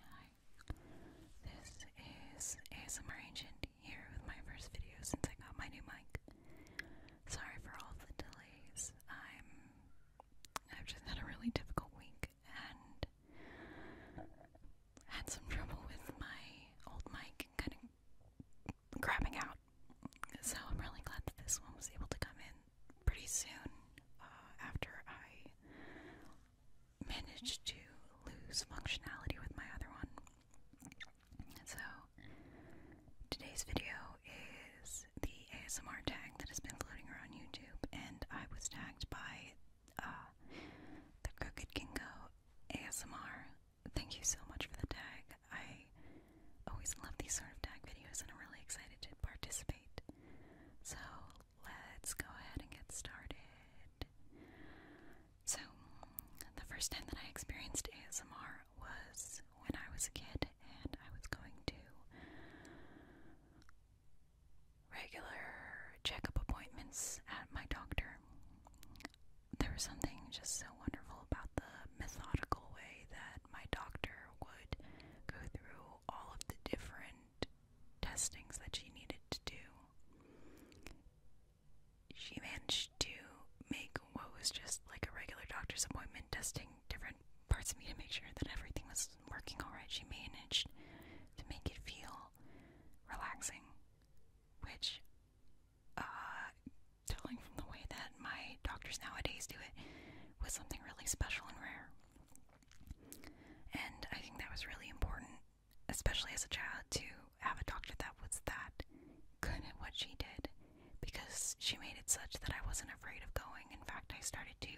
Hi, this is ASMR Agent here with my first video since I got my new mic. Sorry for all the delays. I'm I've just had a really difficult week and had some trouble with my old mic kind of grabbing out. So I'm really glad that this one was able to come in pretty soon uh, after I managed to lose functionality with my other one. So, today's video is the ASMR tag that has been floating around YouTube, and I was tagged by uh, the Crooked Kingo ASMR. Thank you so much for the tag. I always love these sort of tag videos, and I'm really excited to participate. So let's go ahead and get started. So, the first time that I experienced ASMR was when I was a kid and I was going to regular checkup appointments at my doctor. There was something just so wonderful about the methodical way that my doctor would go through all of the different testings that she needed to do, she managed to make what was just like a regular doctor's appointment, testing different parts of me to make sure that everything was working alright. She managed to make it feel relaxing, which, uh, telling from the way that my doctors nowadays do it, was something really special and rare. And I think that was really important, especially as a child, to have a doctor that was that good at what she did because she made it such that I wasn't afraid of going. In fact, I started to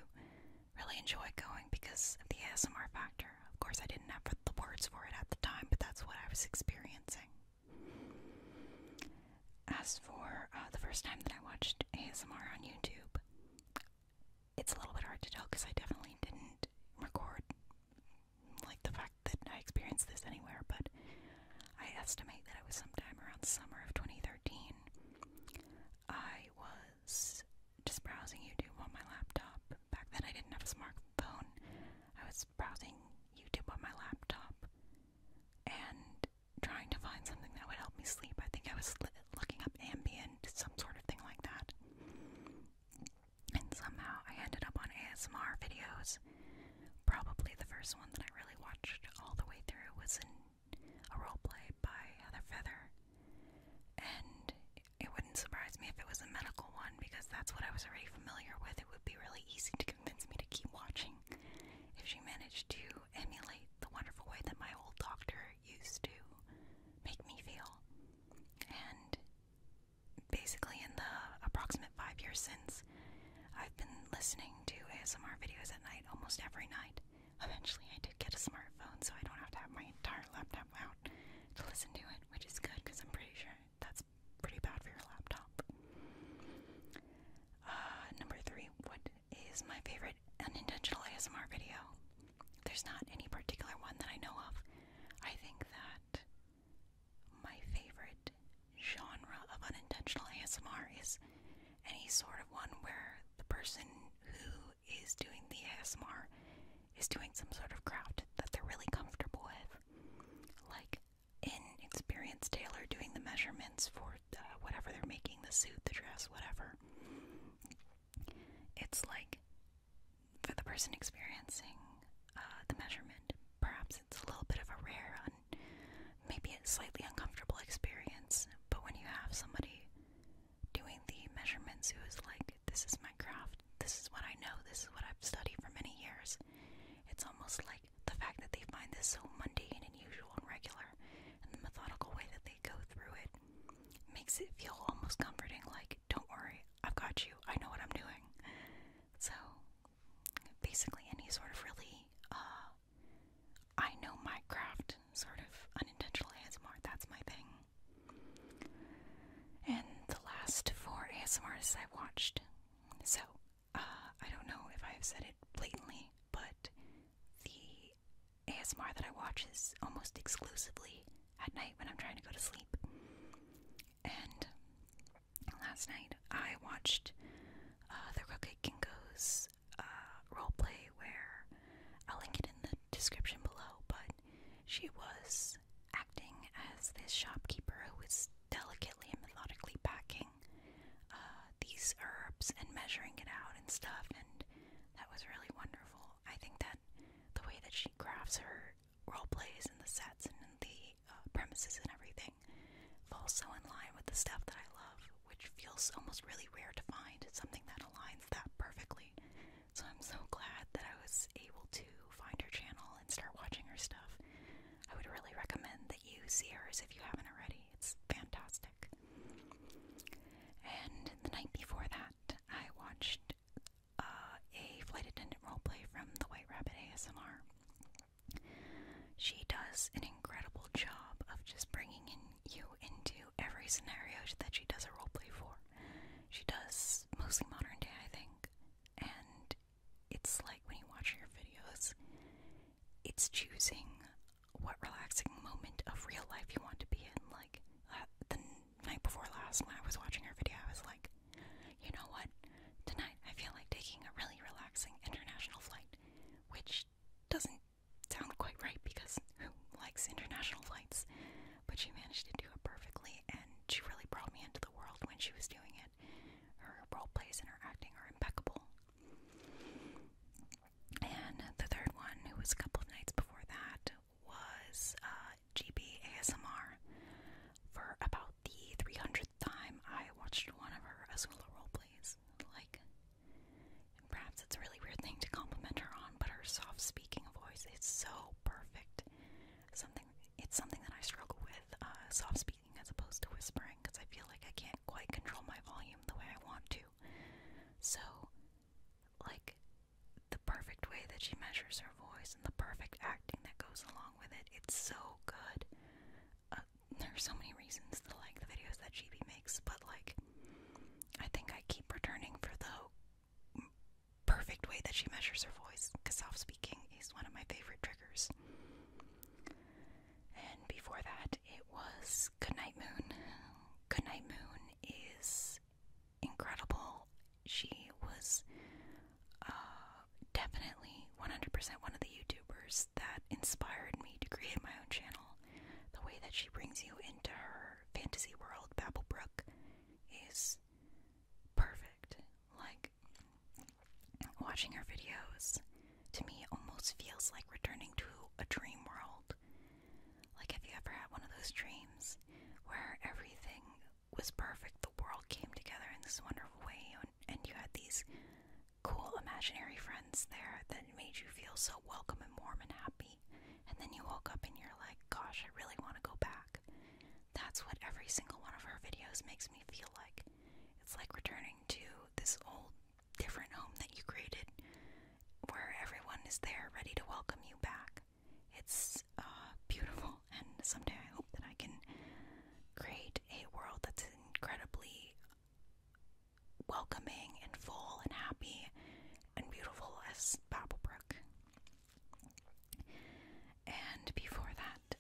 really enjoy going because of the ASMR factor. Of course, I didn't have the words for it at the time, but that's what I was experiencing. As for uh, the first time that I watched ASMR on YouTube, it's a little bit hard to tell because I definitely didn't record like the fact that I experienced this anywhere, but I estimate that it was sometime around summer of 2013. I was just browsing YouTube on my laptop. Back then I didn't have a smartphone. I was browsing YouTube on my laptop and trying to find something that would help me sleep. I think I was looking up ambient, some sort of thing like that. And somehow I ended up on ASMR videos. Probably the first one that I really watched all the way through was in a roleplay by Heather Feather. And it wouldn't surprise me if it was a medical one because that's what I was already familiar with. It would be really easy to convince me to keep watching if she managed to emulate the wonderful way that my old doctor used to make me feel. And basically, in the approximate five years since, I've been listening to ASMR videos at night almost every night. Eventually, I did get a smartphone, so I don't have to have my entire laptop out to listen to it, which is good because I'm pretty sure that's pretty bad for your laptop. Uh, number three, what is my favorite unintentional ASMR video. There's not any particular one that I know of. I think that my favorite genre of unintentional ASMR is any sort of one where the person who is doing the ASMR is doing some sort of craft that they're really comfortable with. Like in Experience Taylor doing the measurements for uh, whatever they're making the suit, the dress, whatever. It's like for the person experiencing uh, the measurement, perhaps it's a little bit of a rare, and maybe a slightly uncomfortable experience. But when you have somebody doing the measurements who is like, this is my craft, this is what I know, this is what I've studied for many years, it's almost like the fact that they find this so mundane and usual and regular, and the methodical way that they go through it makes it feel almost comforting like, don't worry, I've got you, I know what I'm doing. So, basically, any sort of really, uh, I know my craft sort of unintentional ASMR, that's my thing. And the last four ASMRs I watched. So, uh, I don't know if I've said it blatantly, but the ASMR that I watch is almost exclusively at night when I'm trying to go to sleep. And last night I watched uh, the Crooked Kinkos uh, roleplay, where I'll link it in the description below, but she was acting as this shopkeeper who was delicately and methodically packing uh, these herbs and measuring it out and stuff, and that was really wonderful. I think that the way that she crafts her role plays and the sets and the uh, premises and everything falls so in line with the stuff that I love, which feels almost really rare to find. It's something that aligns that perfectly. So I'm so glad that I was able to find her channel and start watching her stuff. I would really recommend that you see hers if you haven't already. It's fantastic. And the night before that, I watched uh, a flight attendant roleplay from the White Rabbit ASMR. She does an incredible job of just bringing in you into every scenario that she does a roleplay for. She does mostly modern day, I think, and it's like when you watch your videos, it's choosing what relaxing moment of real life you want to be in. Like uh, the night before last, when I was watching her video, I was like, you know what? Tonight I feel like taking a really relaxing international flight, which doesn't sound quite right because who likes international flights? But she managed to do it perfectly, and she really brought me into the world when she was doing it. Her role plays and her acting are impeccable. And the third one, who was a couple of nights before that, was uh, GB ASMR. For about the 300th time, I watched one of her Azula roleplays. Like, perhaps it's a really weird thing to compliment her on, but her soft speaking voice is so perfect. Something It's something that I struggle with, uh, soft speaking as opposed to whispering, because I feel like I can't quite control my volume the way I want to. So, like the perfect way that she measures her voice and the perfect acting that goes along with it. It's so good. Uh, there are so many reasons to like the videos that GB makes, but like, I think I keep returning for the perfect way that she measures her voice because self speaking is one of my favorite triggers. And before that, it was Goodnight Moon. Goodnight Moon is incredible. She was uh, definitely 100% one of the YouTubers that inspired me to create my own channel. The way that she brings you into her fantasy world, Babblebrook, is perfect. Like, watching her videos to me almost feels like returning to a dream world like, have you ever had one of those dreams where everything was perfect, the world came together in this wonderful way, and you had these cool imaginary friends there that made you feel so welcome and warm and happy? And then you woke up and you're like, gosh, I really want to go back. That's what every single one of our videos makes me feel like. It's like returning to this old different home that you created where everyone is there ready to welcome you back. It's uh, beautiful, and someday I hope that I can create a world that's incredibly welcoming and full and happy and beautiful as Babelbrook. And before that,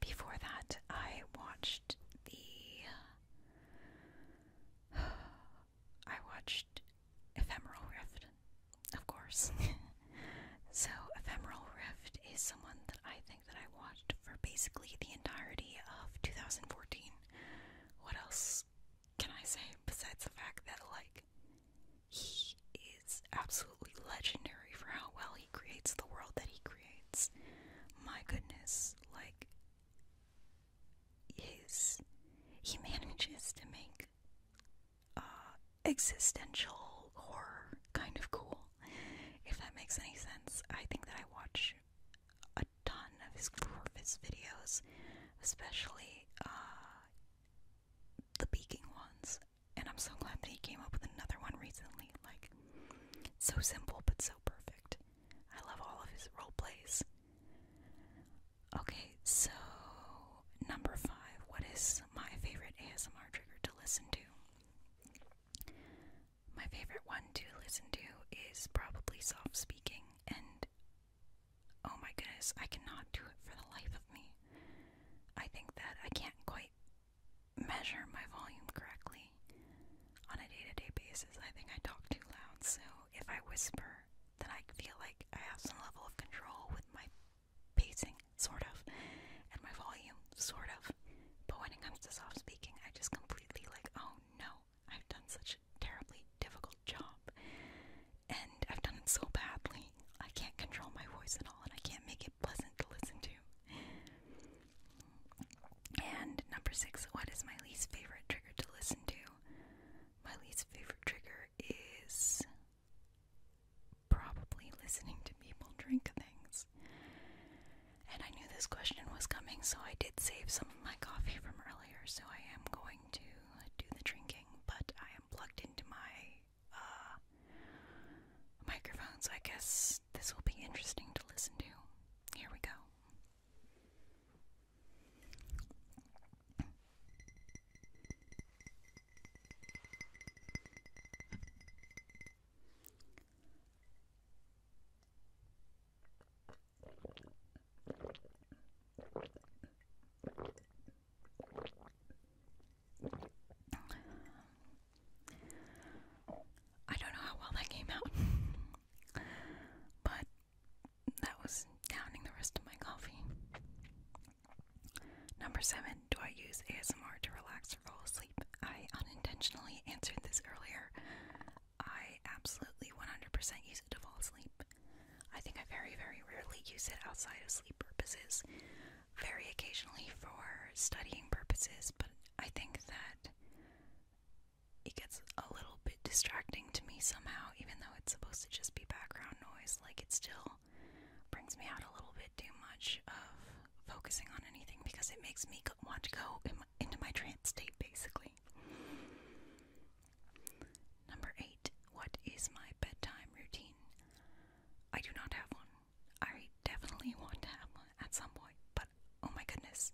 before that, I watched the I watched Ephemeral Rift, of course. so Ephemeral Rift is someone that I think that I watched for basically the entirety of 2014. What else can I say besides the fact that like he is absolutely legendary for how well he creates the world that he creates. My goodness like his he manages to make uh, existential horror kind of cool, if that makes any sense. I think that I watch a ton of his Corvus videos, especially uh, the beaking ones, and I'm so glad that he came up with another one recently. Like, so simple but so perfect. I love all of his role plays. Okay, so number five. What is my favorite ASMR trigger to listen to? My favorite one to listen to is probably soft speaking, and oh my goodness, I cannot do it for the life of me. I think that I can't quite measure my volume correctly on a day to day basis. I think I talk too loud, so if I whisper, then I feel like I have some level of control with my pacing, sort of, and my volume, sort of. But when it comes to soft speaking, I just completely like, oh no, I've done such a terribly difficult job, and I've done it so badly. I can't control my voice at all, and I can't make it pleasant to listen to. And number six, what is my least favorite trigger to listen to? My least favorite trigger is probably listening to people drink things. And I knew this question was coming, so I did save some of my coffee from earlier, so I am going to do the drinking, but I am plugged into my uh, microphone, so I guess this will be interesting to listen to. Here we go. I don't know how well that came out, but that was downing the rest of my coffee. Number seven, do I use ASMR to relax or fall asleep? I unintentionally answered this earlier. I absolutely 100% use it to fall asleep. I think I very, very rarely use it outside of sleep purposes, very occasionally for studying purposes, but I think that it gets a little bit distracting to me somehow, even though it's supposed to just be background noise. Like, it still brings me out a little bit too much of focusing on anything because it makes me want to go into my trance state, basically. Number eight, what is my bedtime routine? I do not have one. I definitely want to have one at some point, but oh my goodness,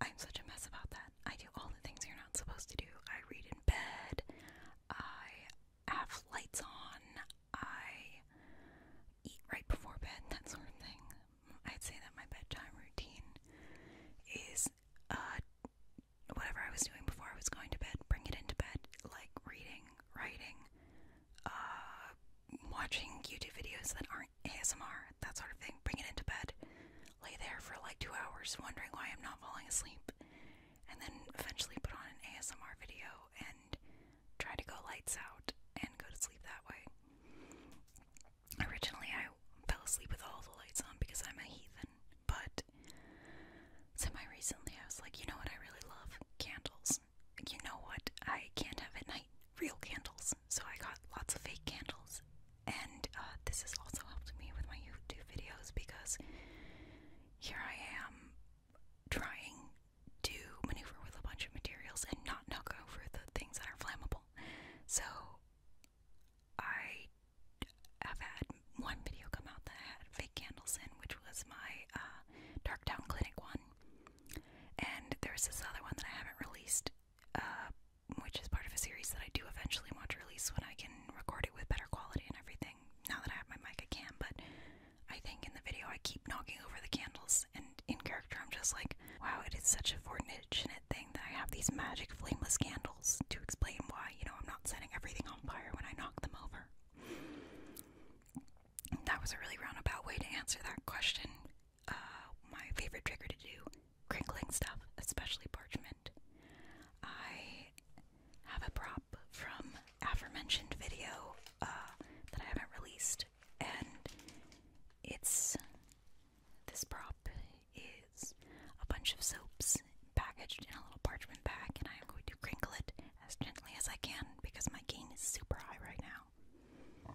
I'm such a mess about that. I do all the things you're not supposed to do. I read in bed, I have lights on, I eat right before bed, that sort of thing. I'd say that my bedtime routine is uh, whatever I was doing before I was going to bed, bring it into bed, like reading, writing, uh, watching YouTube videos that aren't ASMR, that sort of thing, bring it into bed, lay there for like two hours wondering why I'm not falling asleep, and then eventually put on an ASMR video and try to go lights out and go to sleep that way. Originally, I fell asleep with all the lights on because I'm a heathen, but semi recently I was like, you know what, I really love candles. You know what, I can't have it night real candles. So I got lots of fake candles. And uh, this has also helped me with my YouTube videos because here I am trying to maneuver with a bunch of materials and not knock over the things that are flammable. So I have had one video come out that I had fake candles in, which was my uh, Darktown Clinic one. And there's this other one that I haven't released uh, which is part of a series that I do eventually want to release when I can record it with better quality and everything. Now that I have my mic, I can, but I think in the video I keep knocking over the candles, and in character I'm just like, wow, it is such a fortunate thing that I have these magic flameless candles to explain why, you know, I'm not setting everything on fire when I knock them over. That was a really roundabout way to answer that question. Uh, my favorite trigger to do crinkling stuff, especially parchment. I have a prop from aforementioned video uh, that I haven't released, and it's this prop is a bunch of soaps packaged in a little parchment bag, and I am going to crinkle it as gently as I can because my gain is super high right now.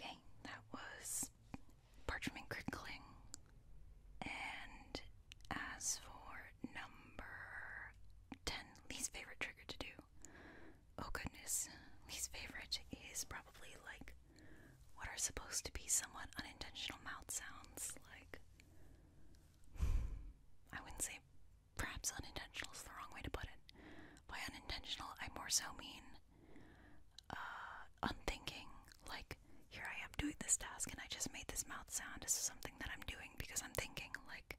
Okay, that was parchment crinkling. And as for number 10, least favorite trigger to do, Oh goodness, least favorite is probably like what are supposed to be somewhat unintentional mouth sounds. Like, I wouldn't say perhaps unintentional is the wrong way to put it. By unintentional, I more so mean uh, unthinking. Like, here I am doing this task and I just made this mouth sound. This is something that I'm doing because I'm thinking. Like,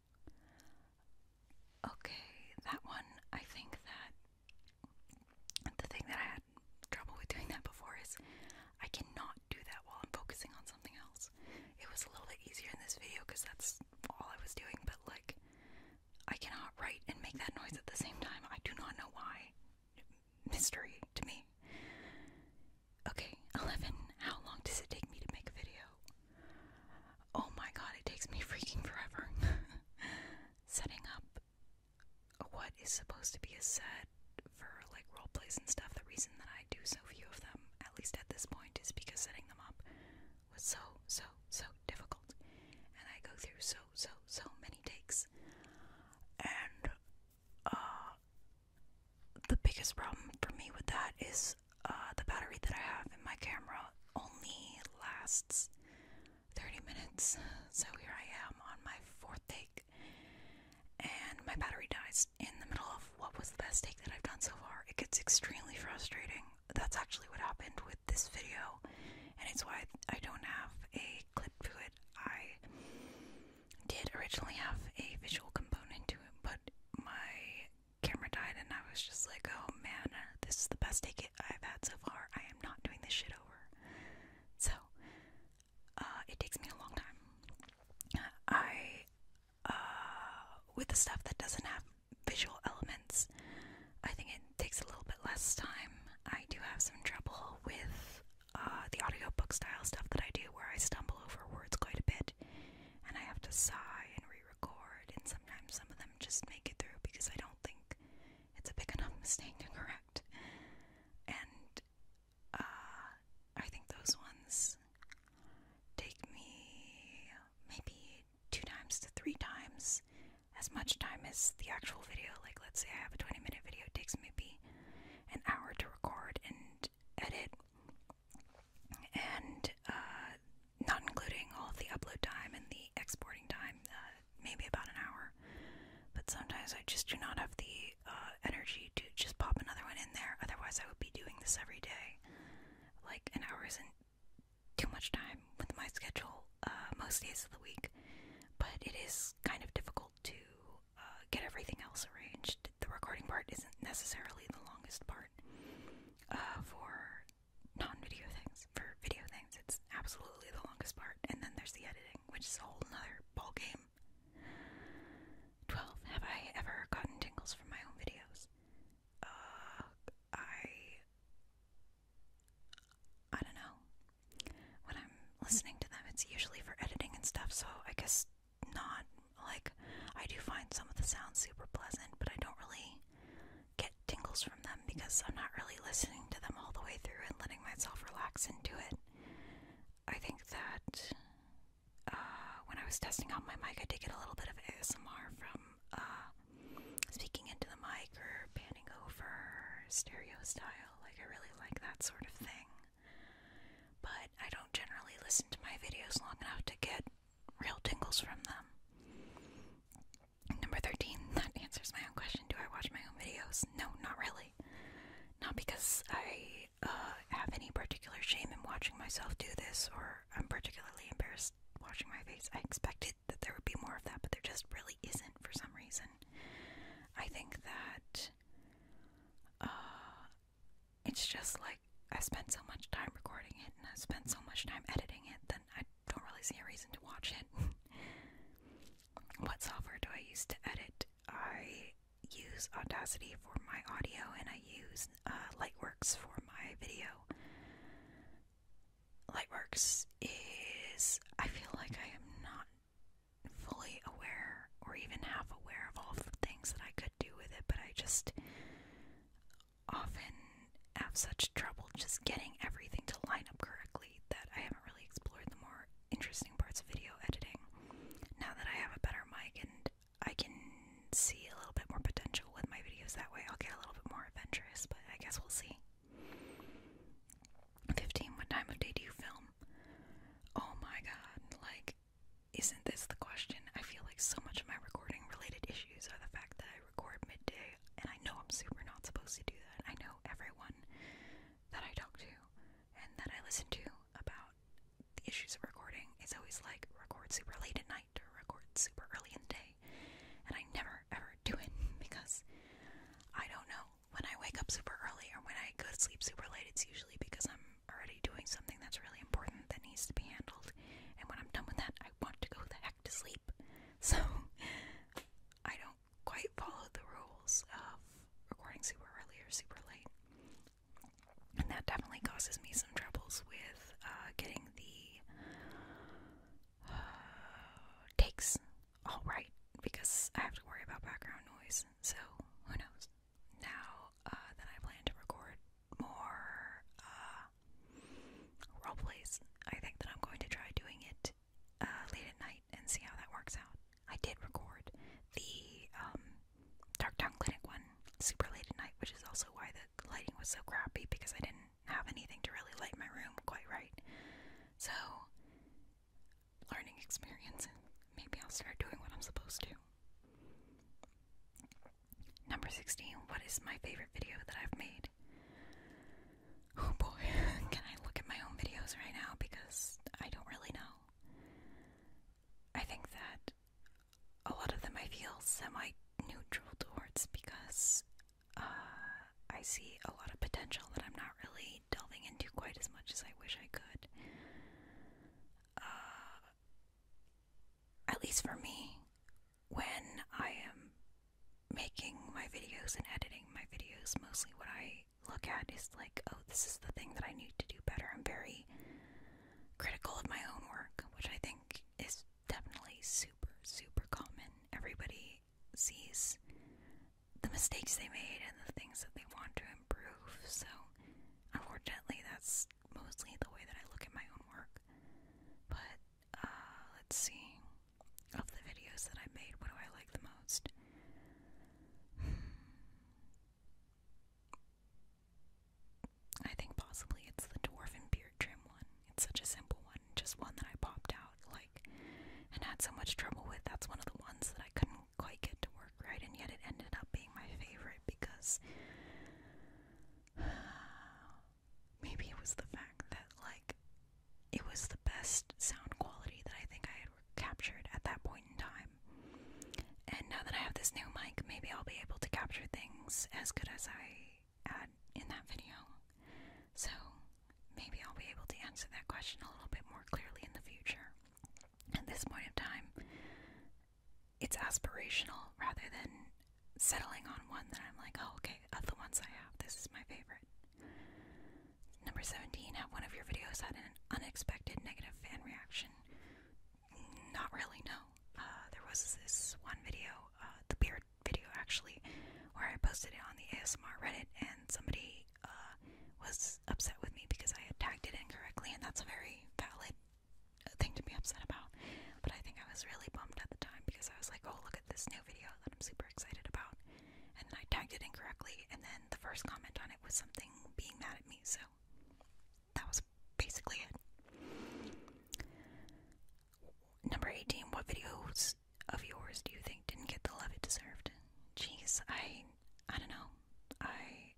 Okay, that one, I think that the thing that I had trouble with doing that before is I cannot do that while I'm focusing on something else. It was a little bit easier in this video because that's all I was doing, but like, I cannot write and make that noise at the same time. I do not know why. Mystery to me. Okay, 11. How long does it take me to make a video? Oh my god, it takes me freaking forever. Setting up what is supposed to be a set for like role plays and stuff. The reason that I do so few of them, at least at this point, is because setting them up was so, so, so difficult. And I go through so, so, so many takes. And, uh, the biggest problem for me with that is uh, the battery that I have in my camera only lasts 30 minutes. So here I am on my fourth take, and my battery dies in the middle of what was the best take that I've done so far. It gets extremely frustrating. That's actually what happened with this video, and it's why I don't have a clip to it. I did originally have a visual component to it, but my camera died, and I was just like, oh man, uh, this is the best take I've had so far. I am not doing this shit over. So, uh, it takes me a long time. I, uh, with the stuff that doesn't have visual elements, I think it takes a little bit less time. I do have some trouble with uh, the audiobook style stuff that I do where I stumble over words quite a bit and I have to sigh and re record, and sometimes some of them just make it through because I don't think it's a big enough mistake to correct. And uh, I think those ones take me maybe two times to three times as much time as the actual video. Like, let's say I have a 20 minute video, it takes maybe an hour to record and edit and uh, not including all the upload time and the exporting time, uh, maybe about an hour. But sometimes I just do not have the uh, energy to just pop another one in there. Otherwise, I would be doing this every day. Like an hour isn't too much time with my schedule most days of the week, but it is kind of difficult to get everything else arranged. The recording part isn't necessarily the longest part uh, for non-video things. For video things, it's absolutely the longest part. And then there's the editing, which is a whole nother ball game. 12. Have I ever gotten tingles from my own videos? Uh, I... I don't know. When I'm listening to them, it's usually for editing and stuff, so I guess not like I do find some of the sounds super pleasant, but I don't really get tingles from them because I'm not really listening to them all the way through and letting myself relax into it. I think that uh, when I was testing out my mic, I did get a little bit of ASMR from uh, speaking into the mic or panning over stereo style. Like, I really like that sort of thing. But I don't generally listen to my videos long enough to get real tingles from them. Number 13, that answers my own question. Do I watch my own videos? No, not really. Not because I uh, have any particular shame in watching myself do this, or I'm particularly embarrassed watching my face. I expected that there would be more of that, but there just really isn't for some reason. I think that uh, it's just like I spent so much time recording it and I spent so much time editing it, that I don't really see a reason to watch it. what software do I use to edit? I use Audacity for my audio and I use uh, Lightworks for my video. Lightworks is, I feel like I am not fully aware or even half aware of all the things that I could do with it, but I just often have such trouble just getting everything to line up correctly that I haven't really explored the more interesting parts of video editing. Now that I have a better mic and I can see a little bit more potential with my videos that way, I'll get a little bit more adventurous, but I guess we'll see. 15. What time of day do you film? Oh my god, like isn't this the question? I feel like so much of my recording related issues are the fact that I record midday, and I know I'm super not supposed to do that. I know everyone that I talk to and that I listen to about the issues of recording is always like record super late at night or record super early in the day, and I never ever do it because I don't know. When I wake up super early or when I go to sleep super late, it's usually because I'm already doing something that's really important that needs to be handled. And when I'm done with that, I want to go the heck to sleep. So I don't quite follow the rules of recording super early or super late. And that definitely causes me some troubles with uh, getting the uh, takes all right because I have to worry about background noise. So who knows? Now uh, that I plan to record more roleplays. I think that I'm going to try doing it uh, late at night and see how that works out. I did record the um, Darktown Clinic one super late at night, which is also why the lighting was so crappy because I didn't have anything to really light my room quite right. So, learning experience. Maybe I'll start doing what I'm supposed to. Number 16. What is my favorite video that I've made? Oh boy, can I look at my own videos right now? Because I don't really know. I think that a lot of them I feel semi neutral towards because uh, I see a lot of potential that I'm not really delving into quite as much as I wish I could. Uh, at least for me, when I am making my videos and editing my videos, mostly what I look at is like, oh, this is the thing that I need to do better. I'm very critical of my own work, which I think is definitely super, super common. Everybody sees the mistakes they made and the things that they want to improve. So, unfortunately, that's mostly the way that I look at my own work. But uh, let's see. Of the videos that I made, what do I like the most? Hmm. I think possibly it's the dwarven beard trim one. It's such a simple one, just one that I popped out like and had so much trouble with. That's one of the ones that I couldn't quite get to work right, and yet it ended up being my favorite because maybe it was the fact that like it was the best sound quality that I think I had captured at that point in time. And now that I have this new mic, maybe I'll be able to capture things as good as I had in that video. So maybe I'll be able to answer that question a little bit more clearly in the future. At this point of time, it's aspirational rather than settling on one that I'm like, oh, okay, of the ones I have, this is my favorite. Number 17, have one of your videos had an unexpected negative fan reaction? Not really, no. Uh, there was this one video, uh, the beard video actually, where I posted it on the ASMR Reddit and somebody uh, was upset with me because I had tagged it incorrectly, and that's a very valid thing to be upset about. But I think I was really bummed at the time because I was like, oh, look at this new video that I'm super excited about. And then I tagged it incorrectly, and then the first comment on it was something being mad at me, so that was basically it. Number 18, what videos of yours do you think didn't get the love it deserved? Jeez, I I don't know. I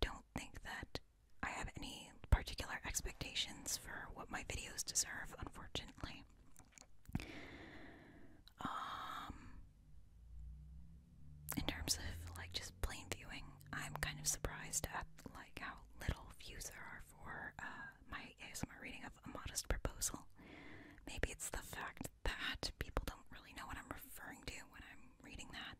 don't think that I have any particular expectations for what my videos deserve, unfortunately. Um, in terms of like just plain viewing, I'm kind of surprised at like how little views there are for uh, my ASMR reading of A Modest Proposal. Maybe it's the fact that people don't really know what I'm referring to when I'm reading that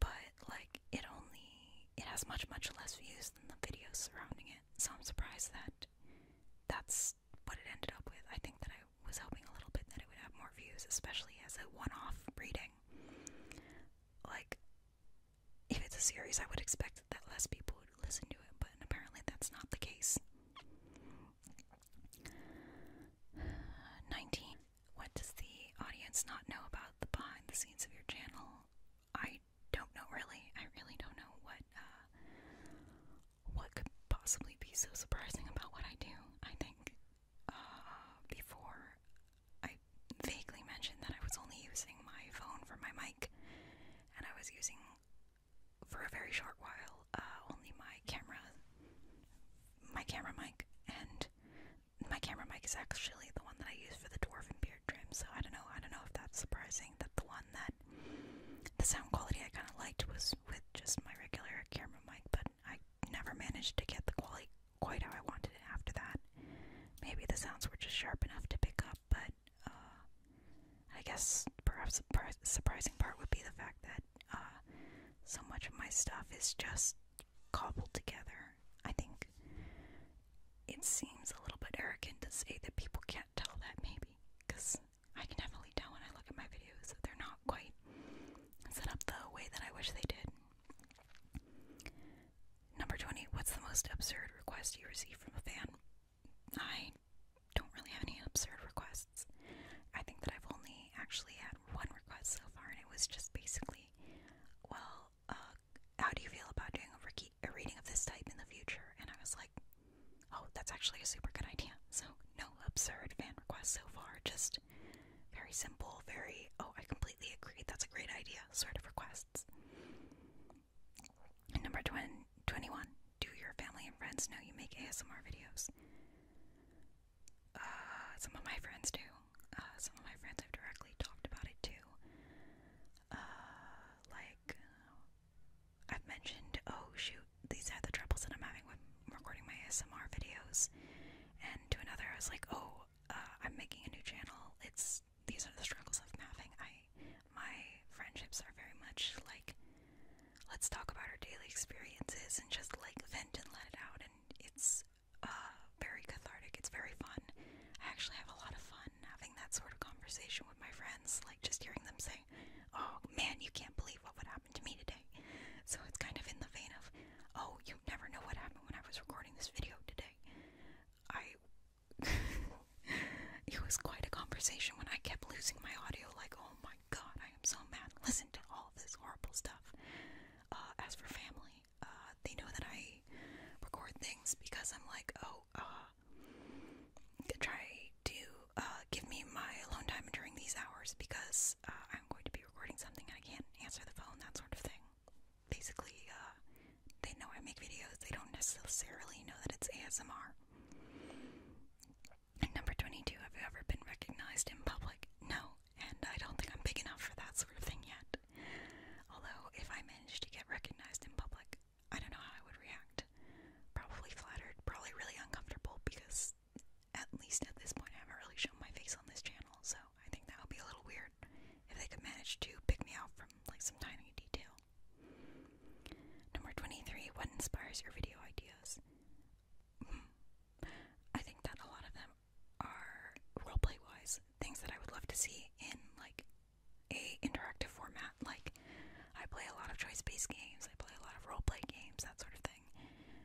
but like it only it has much much less views than the videos surrounding it. So I'm surprised that that's what it ended up with. I think that I was hoping a little bit that it would have more views, especially as a one-off reading. Like if it's a series, I would expect that less people would listen to it, but apparently that's not the case. 19. What does the audience not know about the behind the scenes of your channel? I don't know really. I really don't know what uh, what could possibly be so surprising about what I do. I think uh, before I vaguely mentioned that I was only using my phone for my mic, and I was using for a very short while uh, only my camera, my camera mic, and my camera mic is actually the one that I use for the Dwarf and beard trim, so I don't know. I don't know if that's surprising that the one that the sound quality I kind of liked was with just my regular camera mic, but I never managed to get the quality quite how I wanted it after that. Maybe the sounds were just sharp enough to pick up, but uh, I guess perhaps the surprising part would be the fact that uh, so much of my stuff is just cobbled together I think it seems a little bit arrogant to say that people can't tell that, maybe, because I can definitely tell when I look at my videos that they're not quite set up the way that I wish they did. Number 20, what's the most absurd request you received from a fan? I don't really have any absurd requests. I think that I've only actually had one request so far, and it was just basically, well, uh, how do you feel about doing a, re a reading of this type in the future? And I was like, oh, that's actually a super good idea. So, no absurd fan requests so far, just very simple, very, oh, I completely agree, that's a great idea sort of requests. number 20, 21, do your family and friends know you make ASMR videos? Uh, some of my friends do. Uh, some of my friends have directly talked about it too. Uh, like I've mentioned, oh shoot, these are the troubles that I'm having with recording my ASMR videos. And to another, I was like, oh, uh, I'm making a new channel. It's these are the struggles I'm having. I my friendships are very much like let's talk about our daily experiences and just like vent and let it out. And it's uh, very cathartic. It's very fun. I actually have a lot of fun having that sort of conversation with my friends, like just hearing them say, Oh man, you can't believe what would happen to me today. So it's kind of in the vein of, Oh, you never know what happened when I was recording this video today. I. it was quite a conversation when I kept losing my audio, like, Oh my god, I am so mad. Listen to all this horrible stuff. Uh, as for family, uh, they know that I record things because I'm like, oh, uh, try to uh, give me my alone time during these hours because uh, I'm going to be recording something and I can't answer the phone, that sort of thing. Basically, uh, they know I make videos, they don't necessarily know that it's ASMR. And number 22, have you ever been recognized in public? No, and I don't think I'm big enough for that sort of thing yet. Although, if I managed to get recognized in public, I don't know how I would react. Probably flattered, probably really uncomfortable because at least at this point I haven't really shown my face on this channel, so I think that would be a little weird if they could manage to pick me out from like some tiny detail. Number 23, what inspires your video ideas? Hmm. I think that a lot of them are roleplay wise things that I would love to see in like a interactive format. Like I play a lot of choice based games, I play a lot of roleplay games, that sort of thing.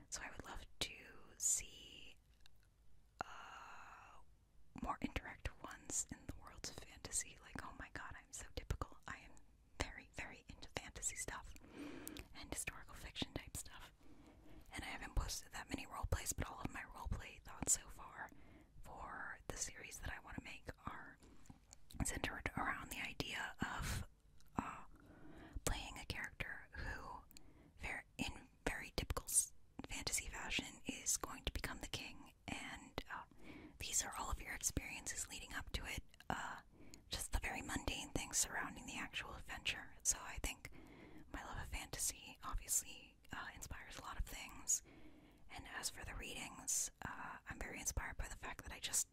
So I would love to see uh, more interactive ones in the worlds of fantasy. Like oh my god, I'm so typical. I am very very into fantasy stuff and historical fiction type stuff and I haven't posted that many roleplays, but all of my roleplay thoughts so far for the series that I want to make are centered around the idea of uh, playing a character who, in very typical fantasy fashion, is going to become the king, and uh, these are all of your experiences leading up to it. Uh, just the very mundane things surrounding the actual adventure. So I think my love of fantasy obviously uh, inspires a lot of things. And as for the readings, uh, I'm very inspired by the fact that I just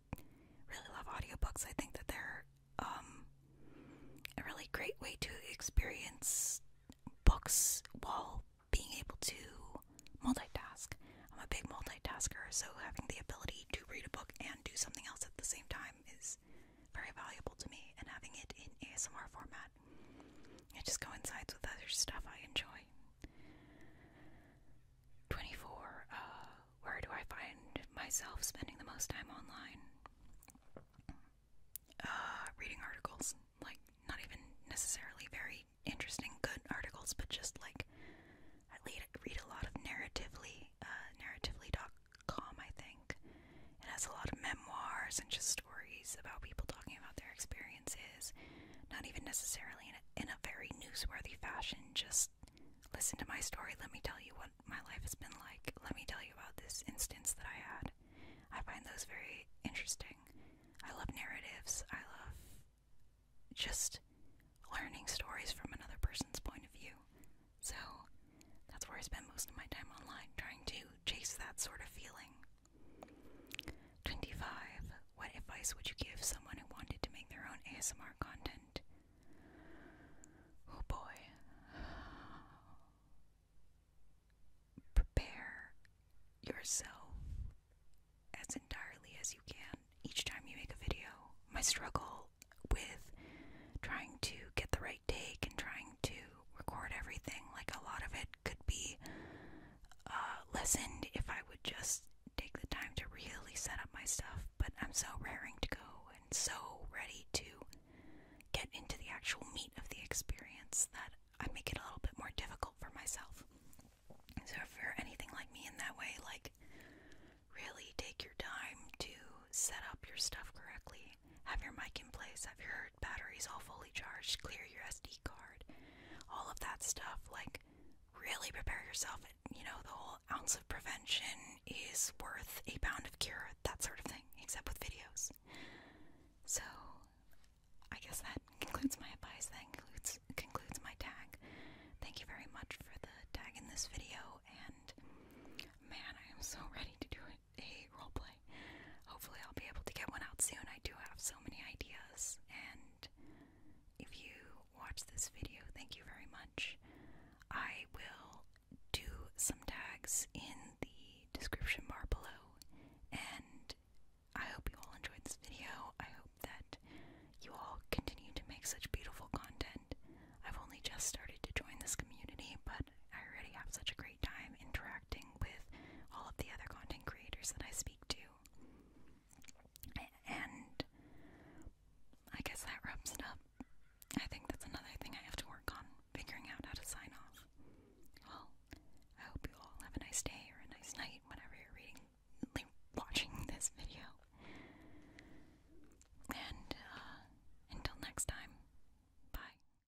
really love audiobooks. I think that they're um, a really great way to experience books while being able to multitask. I'm a big multitasker, so having the ability to read a book and do something else at the same time is very valuable to me, and having it in ASMR format it just coincides with other stuff I enjoy. 24. Uh, where do I find myself spending the most time online? Uh, reading articles. Like, not even necessarily very interesting, good articles, but just like I read, a lot of narratively, uh, narratively.com, I think. It has a lot of memoirs and just stories about people talking about their experiences, not even necessarily in a, in a very newsworthy fashion. Just listen to my story. Let me tell you what my life has been like. Let me tell you about this instance that I had. I find those very interesting. I love narratives. I love just learning stories from another person's point of view. So that's where I spend most of my time online, trying to chase that sort of feeling. 25. What advice would you give someone who wanted to make their own ASMR content? Oh boy. Prepare yourself as entirely as you can each time you make a video. My struggle with trying to get the right I take in trying to record everything. Like a lot of it could be uh, lessened if I would just take the time to really set up my stuff. But I'm so raring to go and so ready to get into the actual meat of the experience that I make it a little bit more difficult for myself. So if you're anything like me in that way, like really take your time to set up your stuff correctly have your mic in place, have your batteries all fully charged, clear your SD card, all of that stuff. Like, really prepare yourself. You know, the whole ounce of prevention is worth a pound of cure, that sort of thing, except with videos. So, I guess that concludes my advice. That concludes, concludes my tag. Thank you very much for the tag in this video, and man, I am so ready to do it. I roleplay. Hopefully, I'll be able to get one out soon. I do have so many ideas. And if you watch this video, thank you very much. I will do some tags in the description bar below. And I hope you all enjoyed this video. I hope that you all continue to make such beautiful content. I've only just started to join this community, but I already have such a great time interacting with all of the other content creators that I speak to. And I guess that wraps it up. I think that's another thing I have to work on figuring out how to sign off. Well, I hope you all have a nice day or a nice night, whenever you're reading, watching this video. And uh, until next time, bye.